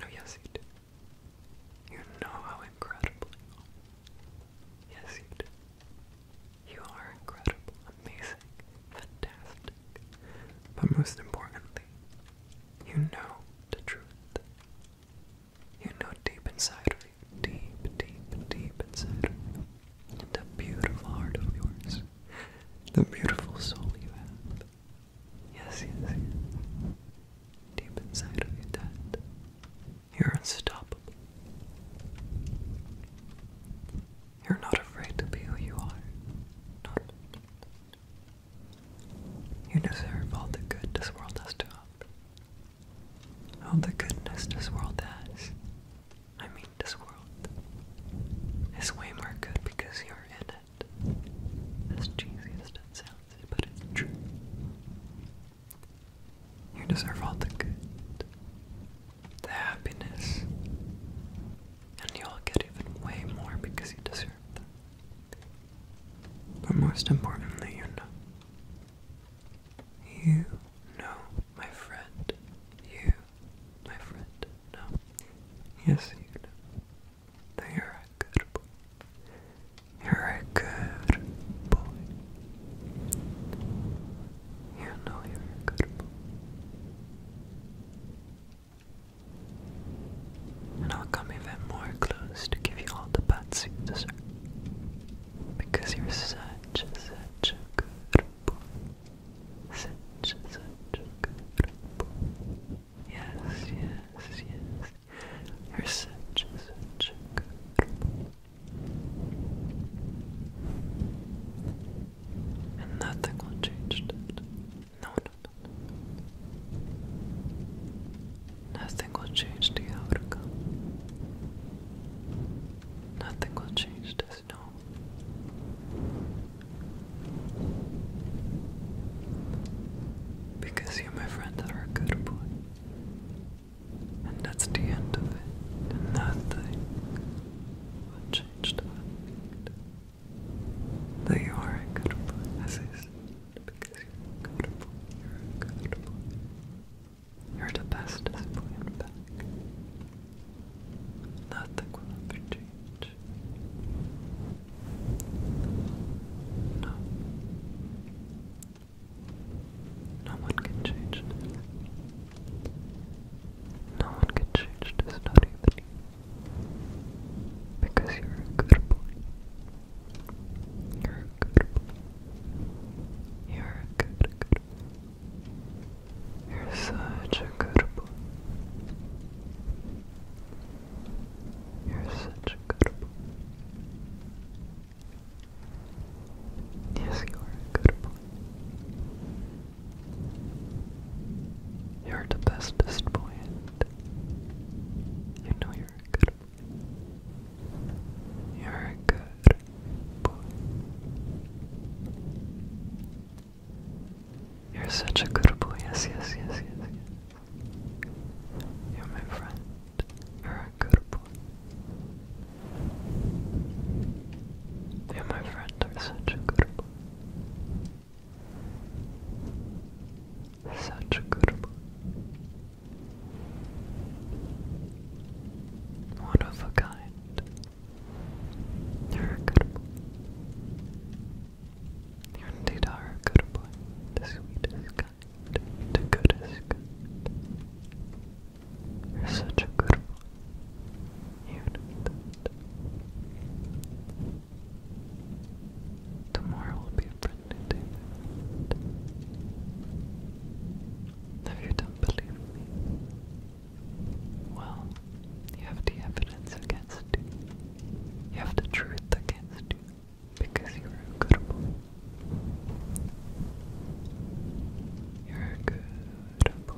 Oh, yes, you do. You know how incredible you are. Yes, you do. You are incredible, amazing, fantastic. But most importantly, you know the truth. You know deep inside of you, deep, deep, deep inside of you, the beautiful heart of yours, the beautiful soul you have. Yes, yes, yes. Deep inside of you, Dad, you're unstoppable. You're not afraid to be who you are. No, You deserve all the good this world has to offer. All the goodness this world has. I mean, this world is way more good because you're in it. As cheesy as that sounds, but it's true. You deserve all the good, the happiness, and you'll get even way more because you deserve them. But most importantly, you know. You know, my friend, you my friend. No. Yes, you do. you're a good boy. You're a good boy. You know you're a good boy. And I'll come even more close to give you all the pats you deserve. Because you're such, such a good boy. Such, a good Yes, yes, yes. You're such, a good And nothing will change that. No, no, no. Nothing will change the outcome. Nothing will change the us Because you, my friend, are a good boy. And that's the end of it. nothing will change the that you are a good boy, as is. Because you're a good boy. You're a good boy. You're the bestest boy in fact. Nothing will ever change. No. No one can change No one can change this, not even you. Because you're a good boy. You're a good boy. You're a good, good you're such a good boy. You're such a good boy. Yes, you are a good boy. You're the bestest boy, you know you're a good boy. You're a good boy. You're such a good boy. Yes, yes, yes, yes, yes. You're my friend. You're a good boy. You, my friend, are such a good boy. Such a good boy. One of a kind. You're a good boy. You indeed are good boy. The sweetest kind, the goodest kind. You're such a good boy. You know that. Tomorrow will be a brand day, If you don't believe me, well, you have the evidence against you. You have the truth against you because you're a good boy. You're a good boy.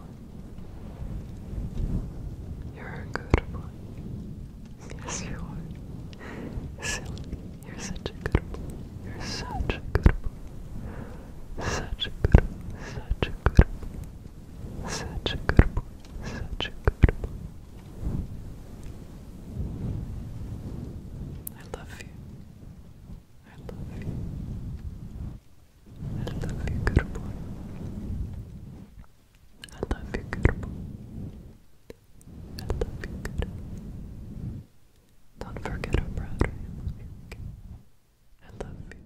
You're a good boy. Yes, you are. Silly. You're such a good boy. You're such a good boy. Such a good boy. Such a good boy. Such a good boy. Such a good boy. I love you. I love you. I love you, good boy. I love you, good boy. I love you, good boy. Don't forget how proud I love you.